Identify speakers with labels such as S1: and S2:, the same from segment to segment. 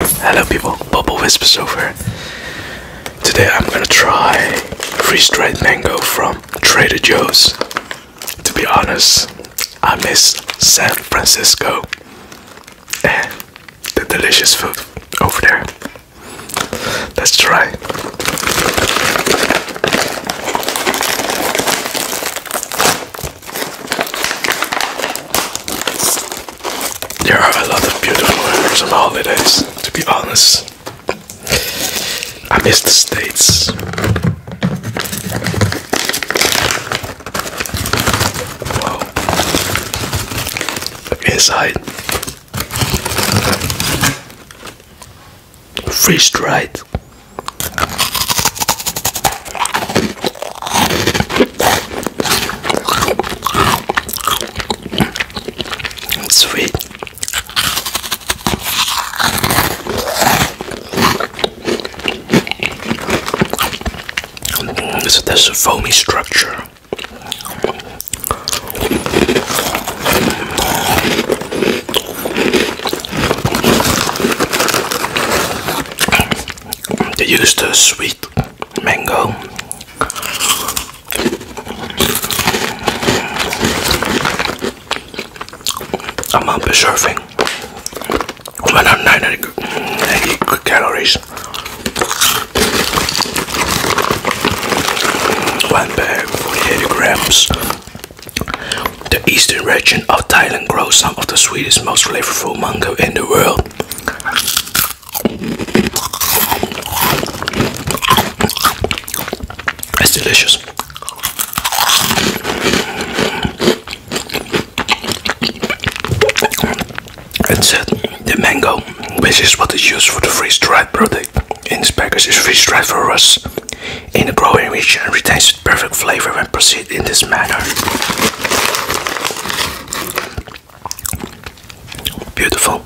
S1: Hello people, Bubble Whispers over. Today I'm gonna try freeze-dried mango from Trader Joe's. To be honest, I miss San Francisco and the delicious food over there. Let's try. There are a lot of beautiful memories on holidays, to be honest. I miss the States. Wow. Look inside. Freeze dried. Sweet. So there's a foamy structure they used the sweet mango. I'm up surfing. 190 calories. One grams. The eastern region of Thailand grows some of the sweetest, most flavorful mango in the world. It's delicious. It's uh, the mango, which is what is used for the freeze dried product in this package, is freeze dried for us in the growing region and retains perfect flavor when proceed in this manner. Beautiful.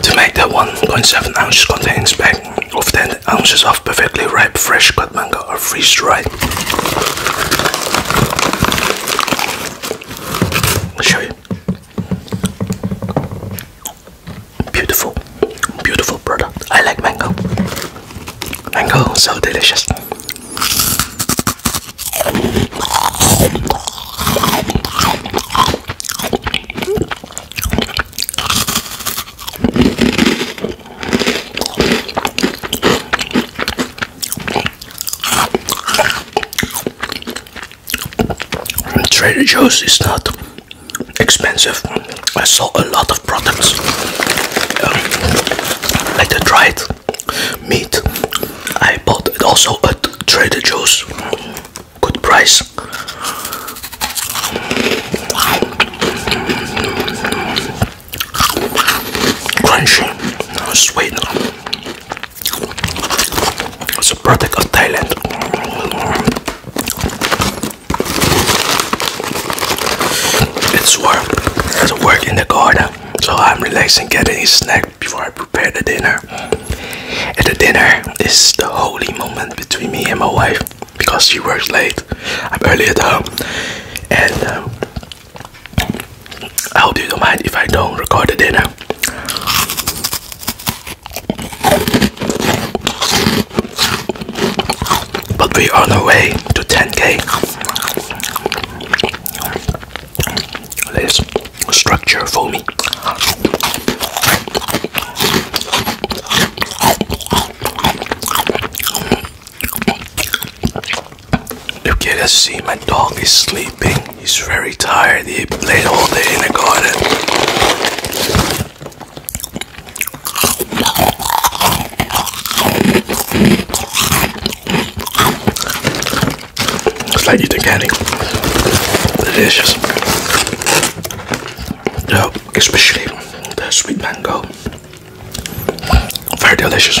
S1: To make that 1.7 ounces contains bag of 10 ounces of perfectly ripe fresh cut mango or freeze dried. i Beautiful, beautiful product. I like mango. Mango, so delicious. Trader Joe's is not expensive. I saw a lot of products Let um, like the dried meat. I bought it also at Trader Joe's. Good price. Crunchy, sweet. It's a product of Thailand. It's work. It's work in the garden. So I'm relaxing, getting a snack before I prepare the dinner. At the dinner is the holy moment between me and my wife because she works late. I'm early at home, and um, I hope you don't mind if I don't record the dinner. But we're on our way to 10k. There's structure for me. You get to see my dog is sleeping. He's very tired. He played all day in the garden. It's like eating candy. Delicious. Yeah, especially the sweet mango. Very delicious.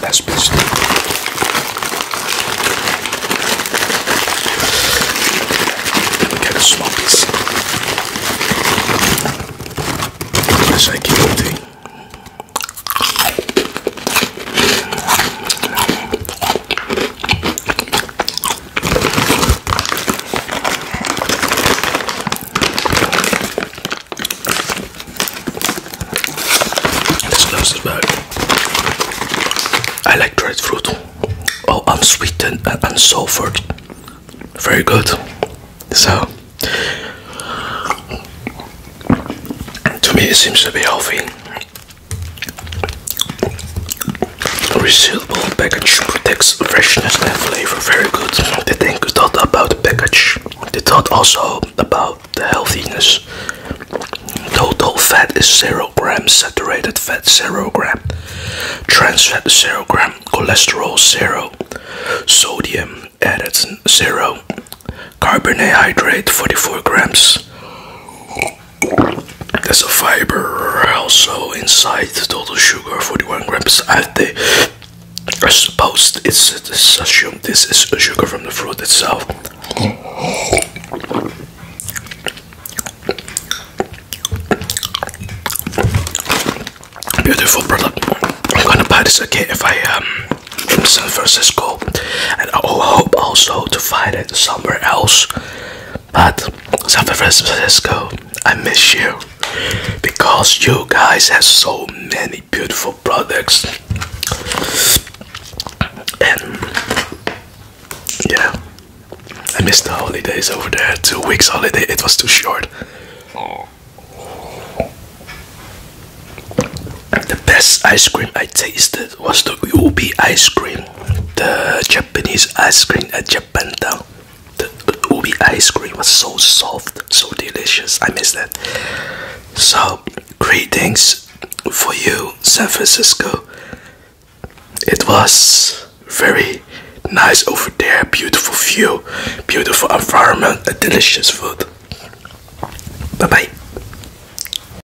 S1: That's busy. Let me get a small piece. Yes, I keep eating. This gloves is bad. I like dried fruit. Oh, unsweetened and unsulfured. Very good. So, to me, it seems to be healthy. Resealable package protects freshness and flavor. Very good. They think thought about the package. They thought also about the healthiness. Total fat is zero grams. Saturated fat zero gram. Trans fat zero gram. Cholesterol zero. Sodium added zero. Carbohydrate 44 grams. There's a fiber also inside the total sugar 41 grams. I, they are supposed it's, it's assumed this is sugar from the fruit itself. Beautiful product. I'm gonna buy this Okay, if I um in San Francisco, and I hope also to find it somewhere else. But San Francisco, I miss you because you guys have so many beautiful products. And yeah, I missed the holidays over there. Two weeks holiday, it was too short. The best ice cream I tasted was the ubi ice cream, the Japanese ice cream at Japan Town. The ubi ice cream was so soft, so delicious. I miss that. So, greetings for you, San Francisco. It was very nice over there. Beautiful view, beautiful environment, a delicious food. Bye bye.